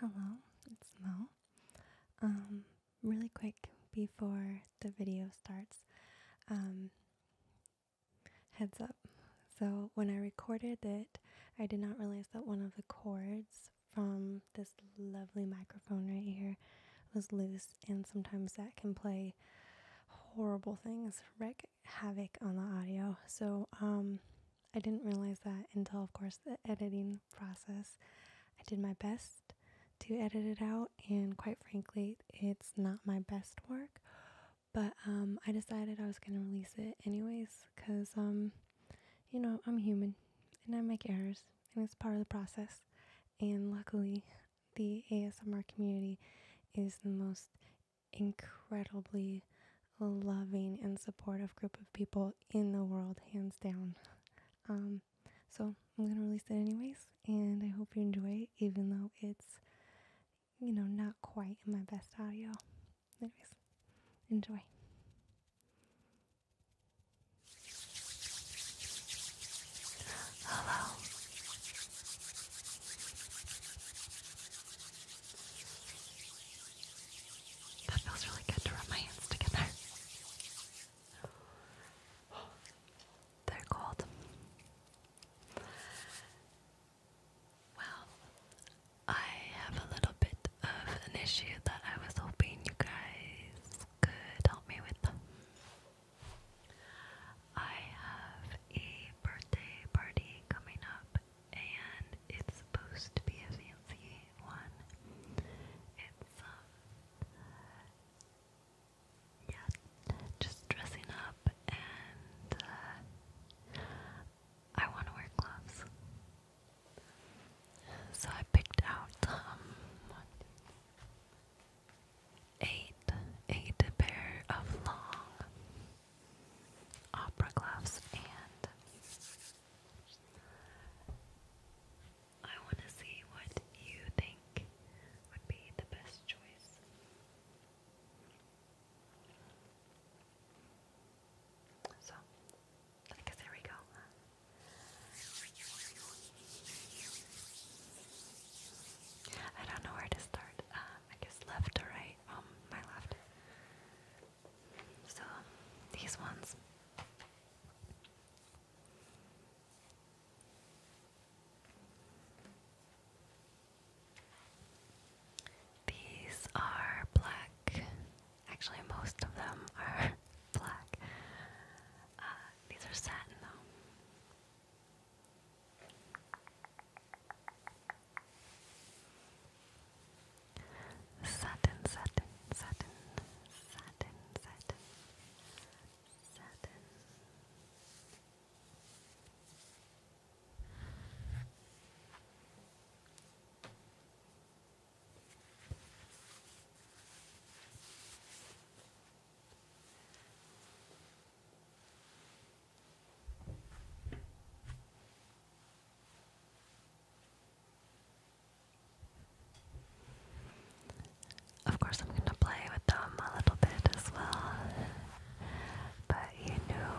Hello, it's Mo. Um, really quick before the video starts, um, heads up. So, when I recorded it, I did not realize that one of the cords from this lovely microphone right here was loose, and sometimes that can play horrible things, wreak havoc on the audio. So, um, I didn't realize that until, of course, the editing process. I did my best to edit it out, and quite frankly, it's not my best work. But um, I decided I was going to release it anyways because, um, you know, I'm human and I make errors, and it's part of the process. And luckily, the ASMR community is the most incredibly loving and supportive group of people in the world, hands down. Um, so I'm going to release it anyways, and I hope you enjoy it, even though it's, you know, not quite in my best audio. Anyways, enjoy. Hello. That feels really good to rub my hands together. They're cold. Well, I have a little bit of an issue that I was hoping you guys could help me with. I have a birthday party coming up and it's supposed to be a fancy one. It's um, just dressing up and uh, I want to wear gloves. So I picked out um, eight eight pair of long opera gloves, and I want to see what you think would be the best choice. So, I guess here we go. I don't know where to start. Um, I guess left or right. Um, my left. So, these ones. These are black. Actually, most of them are black. Uh, these are satin, though. Sudden, sudden, sudden, sudden, sudden, satin. Of course, I'm gonna play with them a little bit as well, but you knew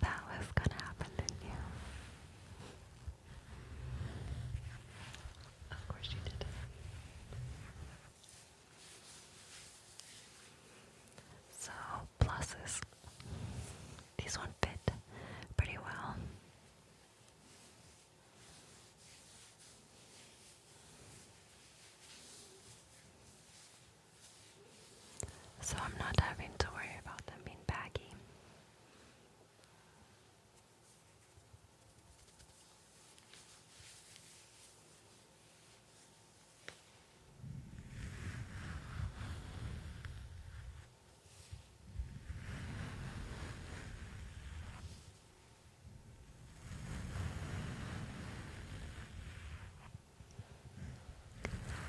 that was gonna happen, didn't you? Of course, you did. So, pluses. These one fit pretty well. So I'm not having to worry about them being baggy.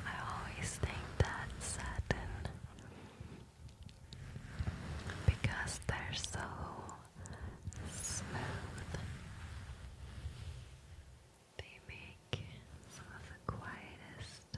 I always think that's satin because they're so smooth. They make some of the quietest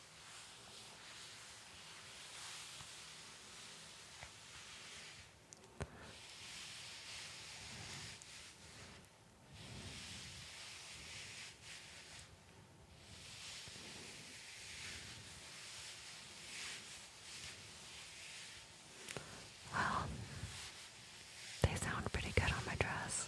Well, they sound pretty good on my dress.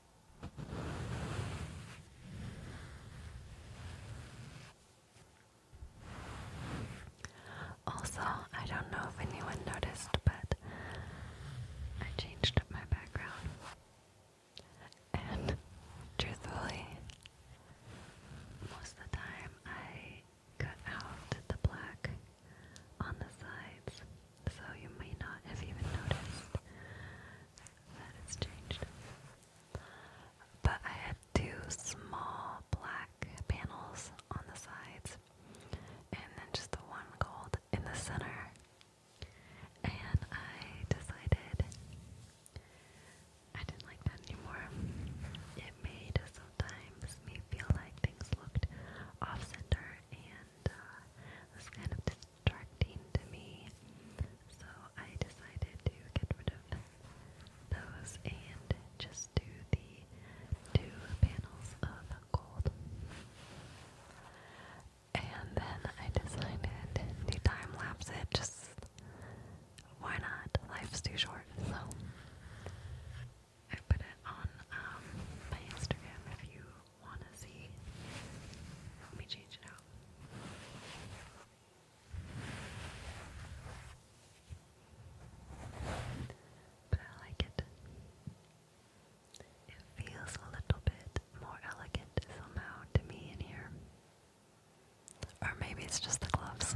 Also, I don't know if anyone noticed, but I changed my background. And truthfully, most of the time I cut out the black on the sides, so you may not have even noticed that it's changed. But I had two small black panels on the sides, and then just the one gold in the center. And I decided I didn't like that anymore. It made sometimes me feel like things looked off center and uh, was kind of dis distracting to me, so I decided to get rid of those and just do the two panels of gold. And then I decided to time lapse it, just why not? Life's too short, so I put it on um, my Instagram if you want to see. Let me change it out. But I like it. It feels a little bit more elegant somehow to me in here. Or maybe it's just the gloves.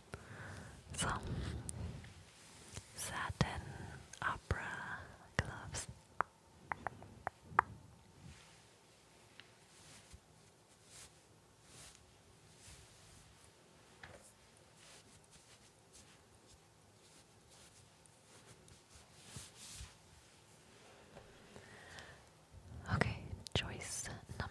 Some satin opera gloves. Okay, choice number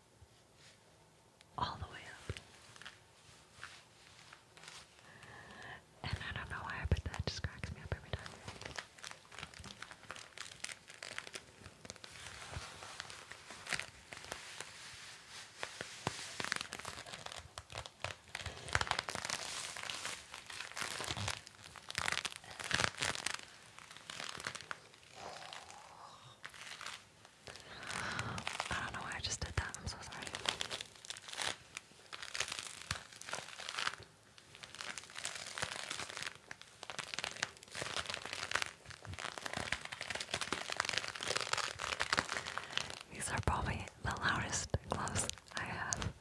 all the way up. And I don't know why, but that just cracks me up every time. I don't know why I just did that. I'm so sorry. These are probably the loudest gloves I have.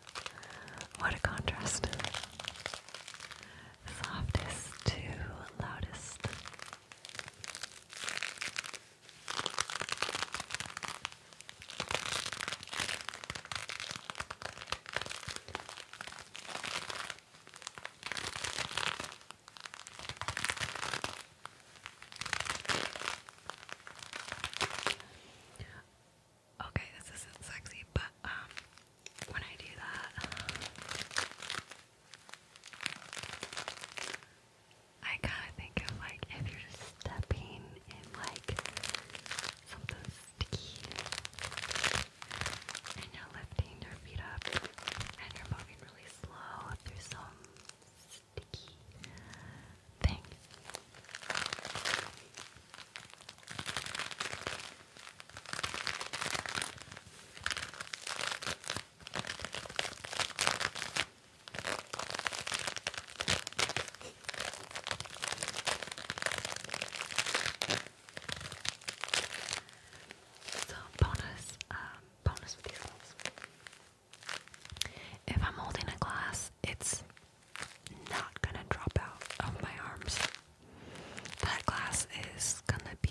What a contrast softest to loudest. Okay, this isn't sexy, but um, when I do that, I kind of think of like if you're just stepping in like something sticky and you're lifting your feet up and you're moving really slow through some sticky thing. So bonus, um, bonus with If I'm holding a glass, it's not gonna drop out of my arms. That glass is gonna be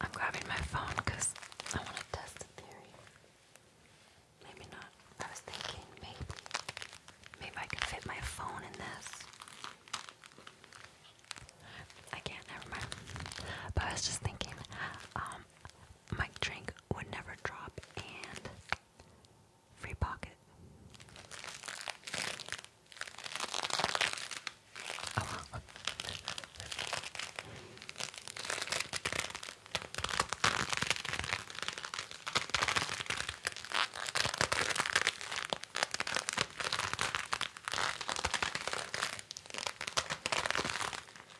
I'm grabbing my phone because I want to test the theory. Maybe not. I was thinking maybe. Maybe I can fit my phone in this. I can't, never mind. But I was just thinking, um, my drink would never drop and free pocket.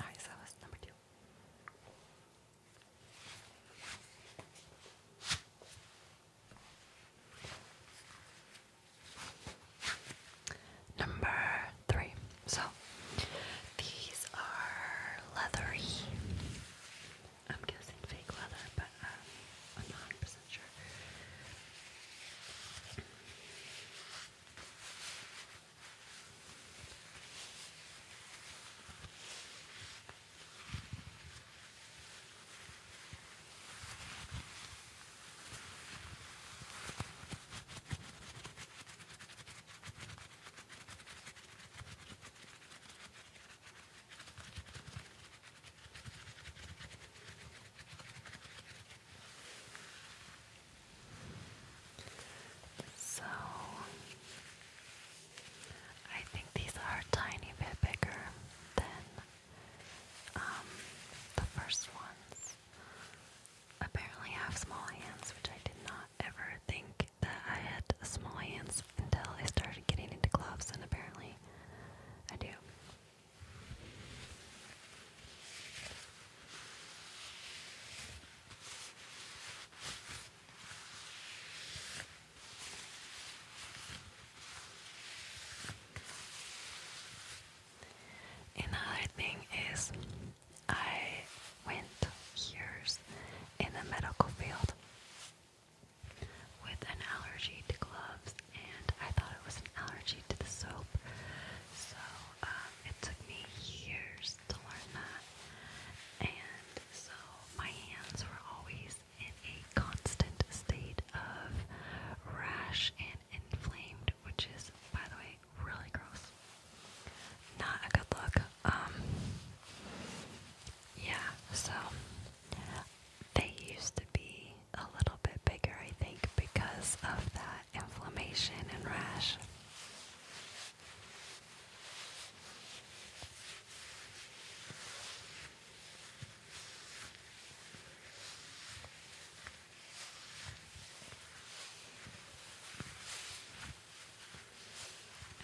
Alright, so that was number two. Number three. So these are leathery. I'm guessing fake leather, but um, wasn't sure. So I think these are a tiny bit bigger than um, the first ones. Apparently, I have small hands, which I did not ever think that I had small hands until I started getting into gloves, and apparently, I do. Another thing is, I went years in the medical field with an allergy to gloves, and I thought it was an allergy to the soap. So um, it took me years to learn that. And so my hands were always in a constant state of rash and inflamed, which is, by the way, really gross. Not a good look. Um, yeah, so they used to be a little bit bigger, I think, because of that inflammation and rash.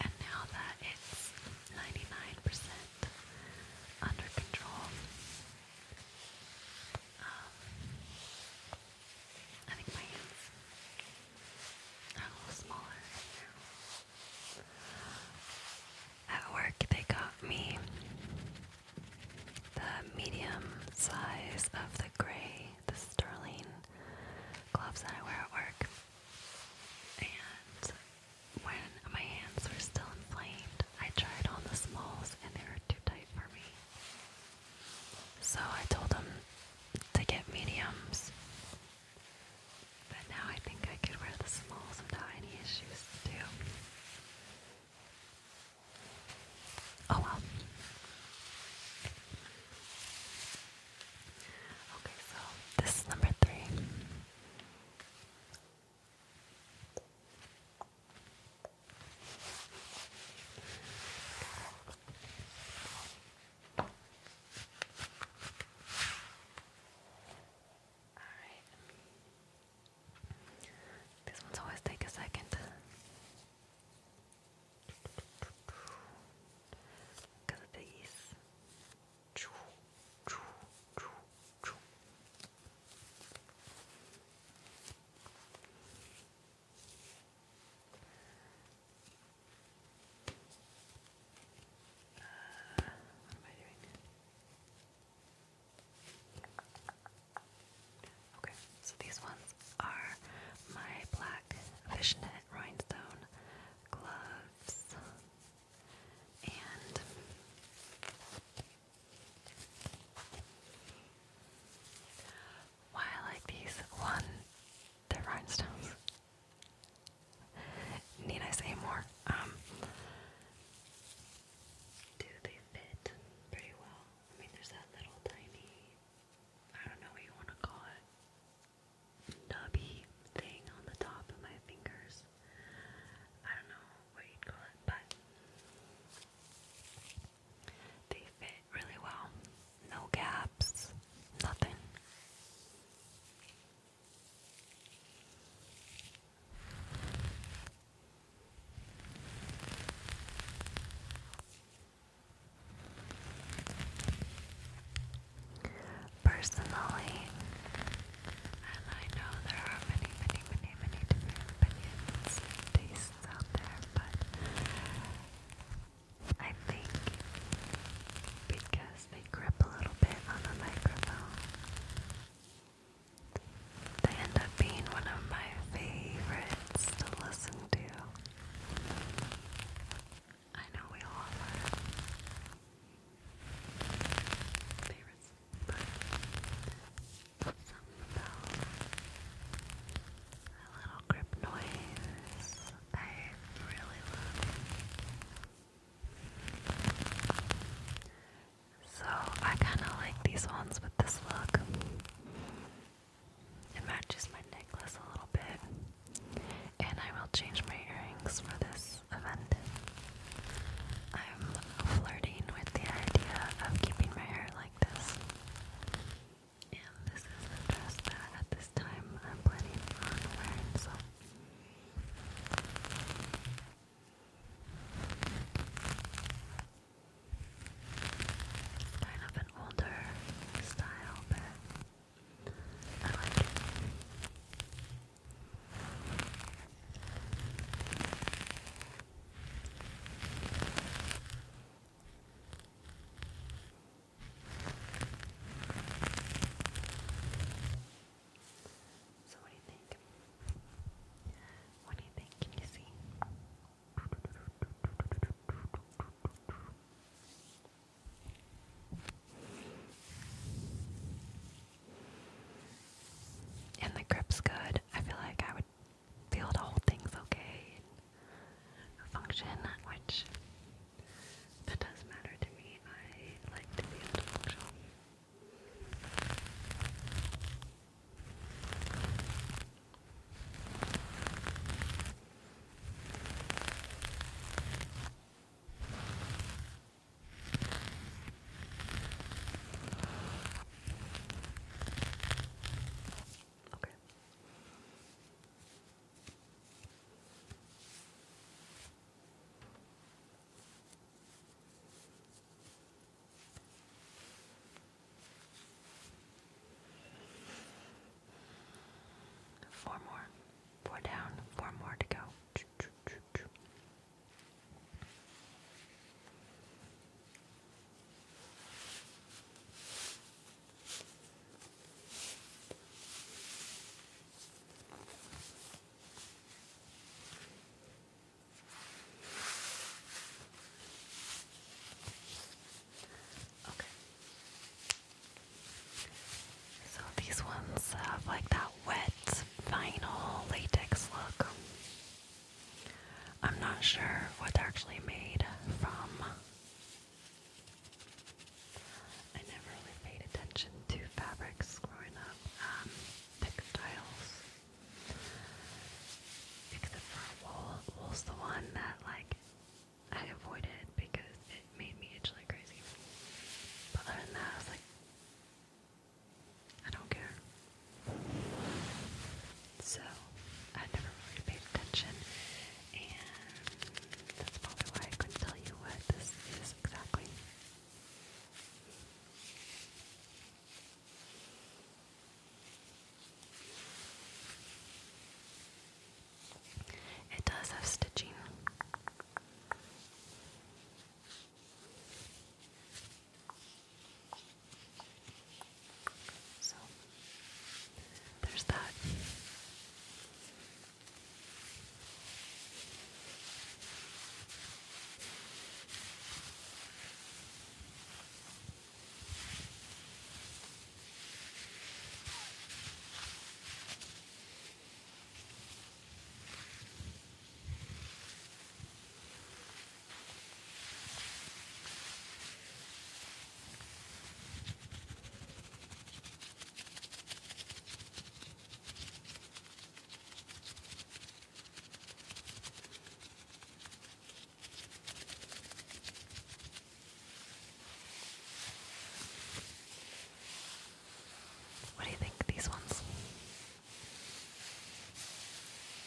And now that it's 99% under control, um, I think my hands are a little smaller At work, they got me the medium size of the gray, the sterling gloves that I wear at work. And when my hands were still inflamed, I tried on the smalls and they were too tight for me. So I told him to get mediums. But now I think I could wear the smalls without any issues too. Oh well. Okay, so this is number three. Alright. These ones always take a second. Because of these. Choo, choo, choo, choo. Okay, so these ones are my black fishnet rhinestone gloves and why I like these? One, they're rhinestones. Need I say more? Um, do they fit pretty well? I mean, there's that little tiny, I don't know what you want to call it, nubby thing on the top of my fingers. I don't know what you'd call it, but they fit really well. No gaps, nothing. Personally, and I know there are many, many, many, many different opinions out there, but I think because they grip a little bit on the microphone, they end up being one of my favorites to listen to. I know we all have favorites, but a little grip noise. I really love So I kind of like these ones with this look. It matches my necklace a little bit, and I will change my earrings for this event. I'm flirting with the idea of keeping my hair like this. And this is the dress that at this time I'm planning on wearing, so. Kind of an older style, but so, what do you think? What do you think? Can you see? And the grip's good. I feel like I would feel the whole thing's okay and function, which that does matter to me. I like to be able Okay. Four more. Four down, four more to go. Okay. So these ones have like that wet vinyl latex look. I'm not sure what's actually made from. I never really paid attention to fabrics growing up, um, textiles. Except for wool. Wool's the one that, like, I avoided because it made me itch like crazy. But other than that, I was like, I don't care. So I never really paid attention, and that's probably why I couldn't tell you what this is exactly. It does have stitching. So, there's that. What do you think these ones?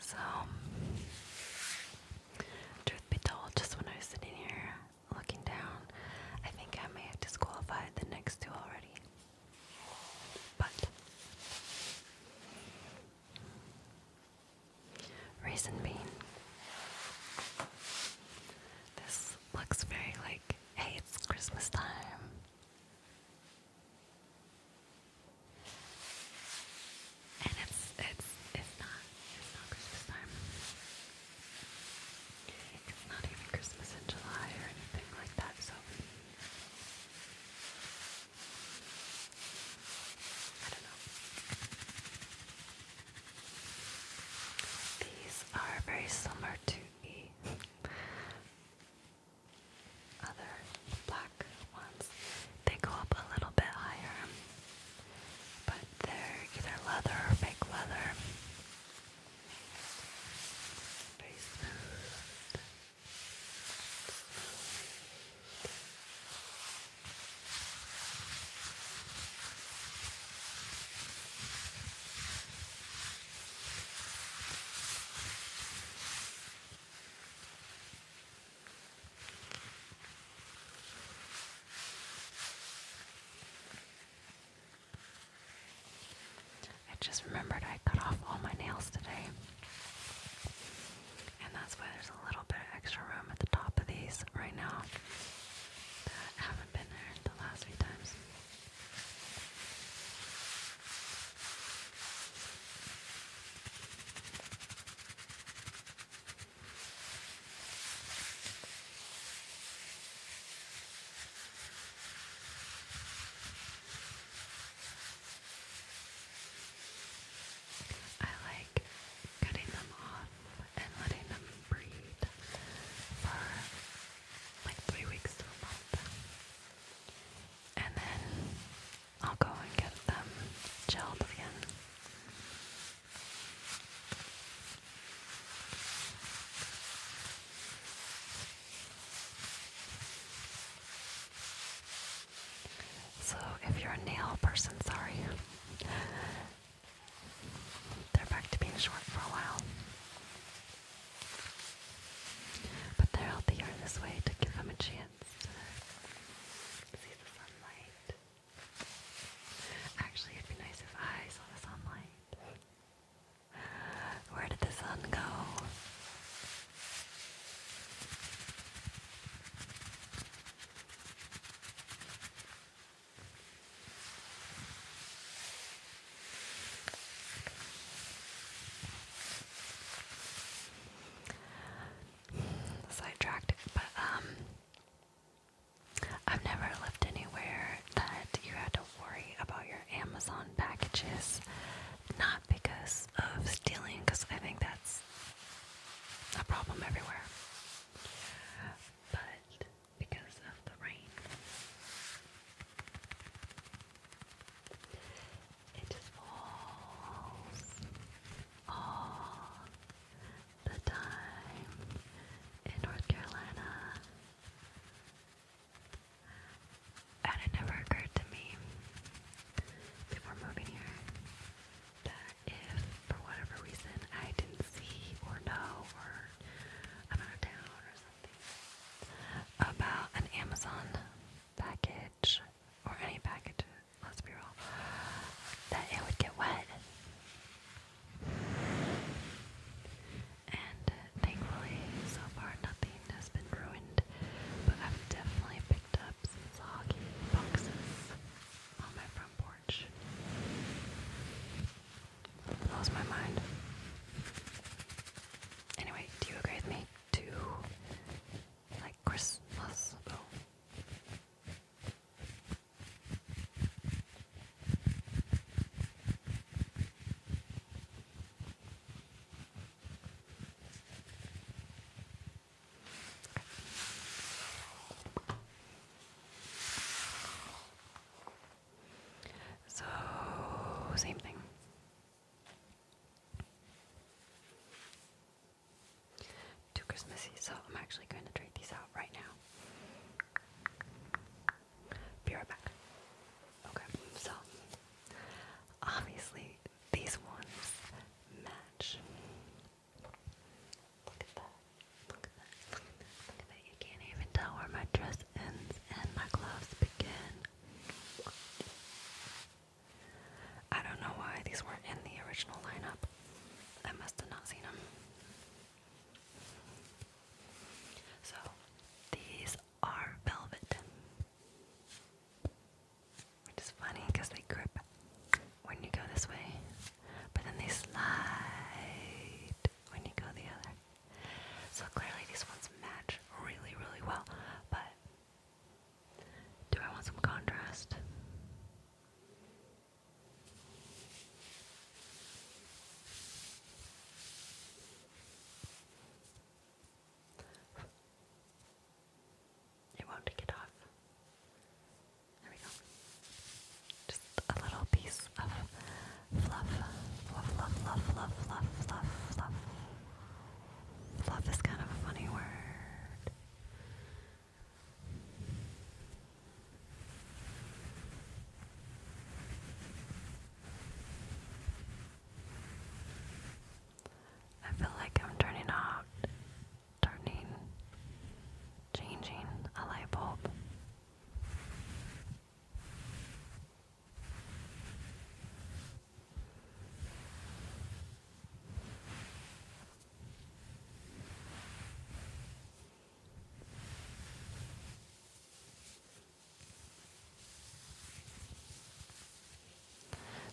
So, truth be told, just when I was sitting here looking down, I think I may have disqualified the next two already. But, reason being, this looks very like, hey, it's Christmas time. And it's it's it's not it's not Christmas time. It's not even Christmas in July or anything like that, so I don't know. These are very similar to the other black ones. They go up a little bit higher, but they're either leather or fake leather. I just remembered I cut off all my nails today. And that's why there's a little bit of extra room at the top of these right now that haven't been there the last few times. I like cutting them off and letting them breed for like three weeks to a month. And then I'll go and get them gelled again. So, if you're a nail person, sorry. They're back to being short for a while. But they're healthier this way to give them a chance. See the sunlight. Actually, it'd be nice if I saw the sunlight. Where did the sun go? sidetracked, but um, I've never lived anywhere that you had to worry about your Amazon packages, not because of stealing, because I think that's a problem everywhere, but because of the rain it just falls all the time in North Carolina. And it never occurred to me before moving here that if for whatever reason I didn't see or know or I'm out of town or something about an Amazon package or any package, let's be real, that it would get wet. And thankfully, so far nothing has been ruined, but I've definitely picked up some soggy boxes on my front porch. Blows my mind. Anyway, do you agree with me? To Christmas. So, same thing too Christmassy, so I'm actually going to try these out right now. Be right back. Okay, so obviously these ones match. Look at that. Look at that. Look at that. You can't even tell where my dress ends and my gloves begin. I don't know why these weren't in the original lineup. I must have not seen them. So, these are velvet. Which is funny because they grip when you go this way, but then they slide when you go the other. So, clearly, these ones match really, really well, but do I want some contrast? It won't take it off. There we go. Just a little piece of fluff. Fluff, fluff, fluff, fluff, fluff, fluff, fluff. Fluff is kind of funny word. I feel like I'm turning off, turning, changing a light bulb.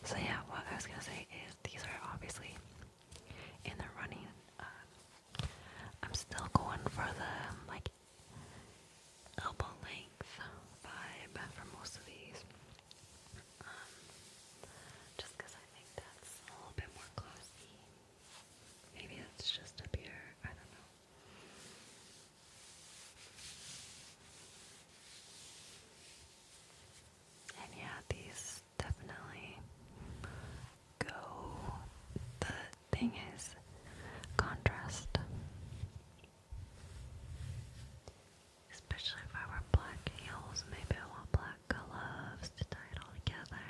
So yeah, what I was gonna say is these are obviously in the running. Uh, I'm still going for the like elbow length vibe for most of these. Um, just because I think that's a little bit more classy. Maybe it's just up here, I don't know. And yeah, these definitely go. The thing is contrast. Especially if I wear black heels, maybe I want black gloves to tie it all together.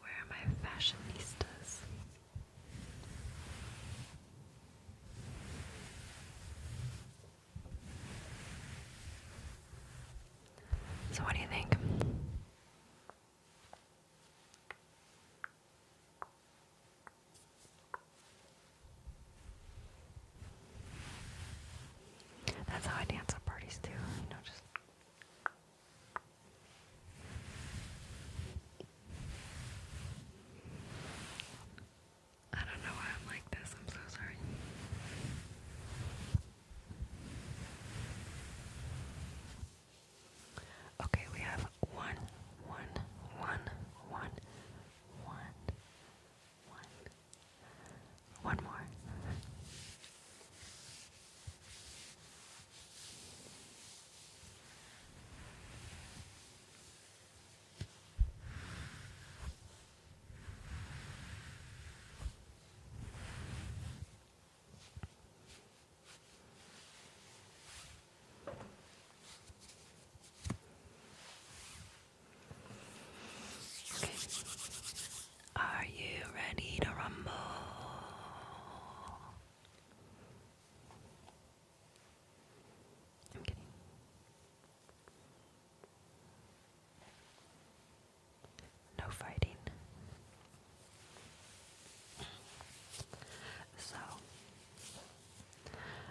Where are my fashionistas? So, what do you think? That's how I dance at parties too, you know, just I don't know why I'm like this, I'm so sorry. Okay, we have one, one, one, one, one, one, one more. Are you ready to rumble? No fighting. So,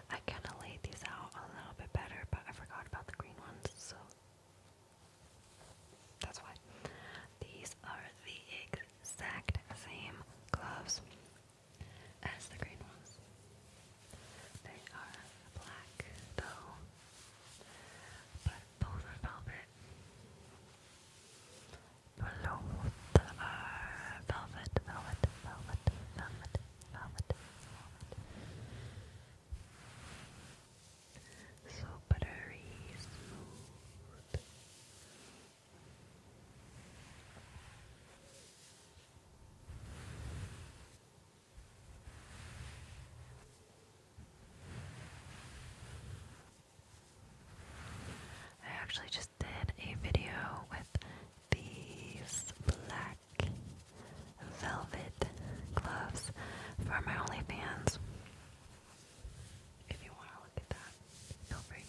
I kind of laid these out a little bit better, but I forgot about the green ones, so that's why. These are the exact same gloves as the green ones. They are black, though, but both are velvet. Blue are uh, velvet, velvet, velvet, velvet, Velvet, So buttery smooth. I actually just did a video with these black velvet gloves for my OnlyFans. If you want to look at that, feel free.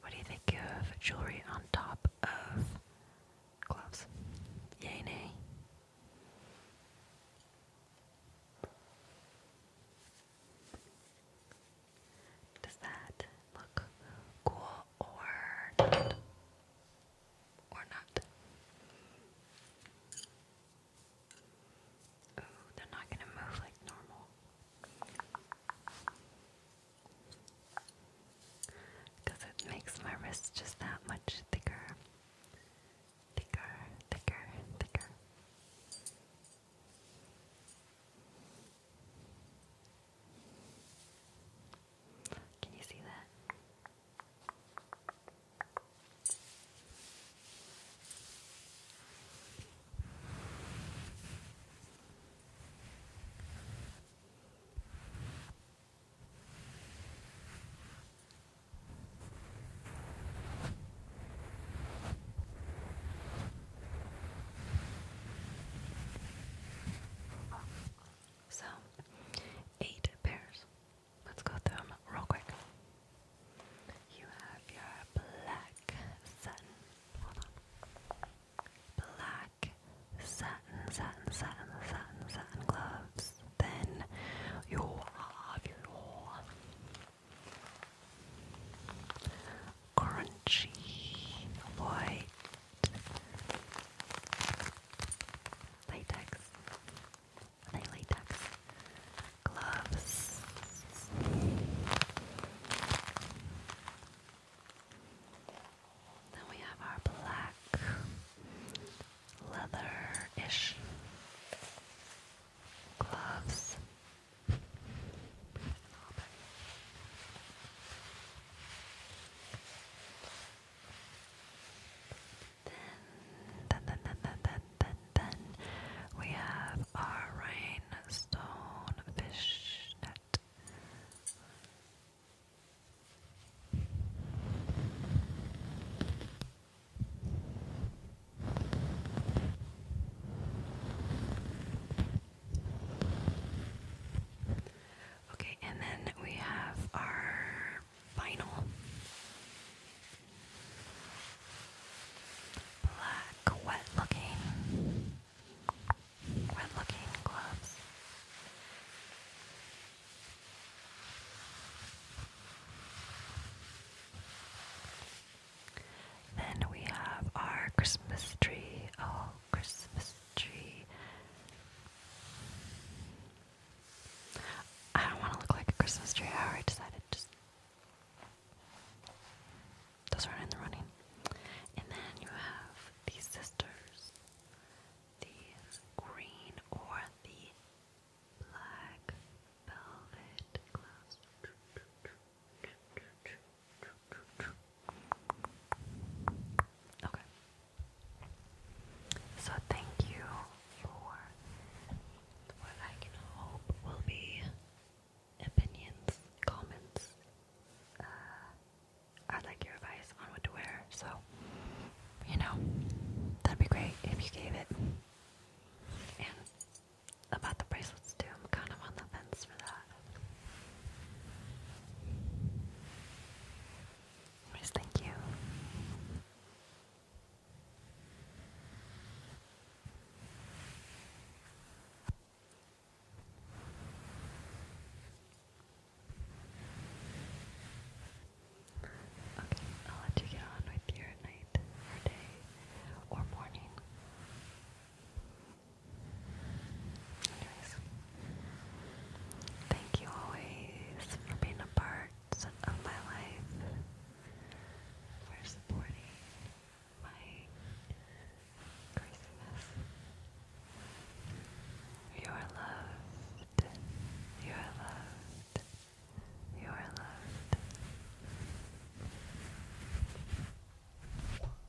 What do you think of jewelry on top of gloves? Yay, Does that look cool or Or not? Ooh, they're not gonna move like normal. it makes my wrist just that much thicker. Thicker, thicker, thicker. Can you see that? So, eight pairs. Let's go through them real quick. You have your black satin Black satin, satin, satin, satin, satin gloves. Then you'll have your crunchy white latex. Are latex gloves. Then we have our black leather-ish gloves. Then, then, then, then, then, then, then we have are rhinestone fishnet. Okay, and then we have our vinyl black, wet looking when looking gloves. Then we have our Christmas tree. Oh, Christmas tree. I don't want to look like a Christmas tree. I already decided just those are in the running. And then you have the sisters, the green or the black velvet Okay. So thank you for what I can hope will be opinions, comments. Uh, i like your advice on what to wear, so you know, that'd be great if you gave it. And about the bracelets too, I'm kind of on the fence for that. Anyways, thank you. Okay, I'll let you get on with your night or day or morning. Anyways, thank you always for being a part of my life, for supporting my Christmas. You are loved. You are loved. You are loved.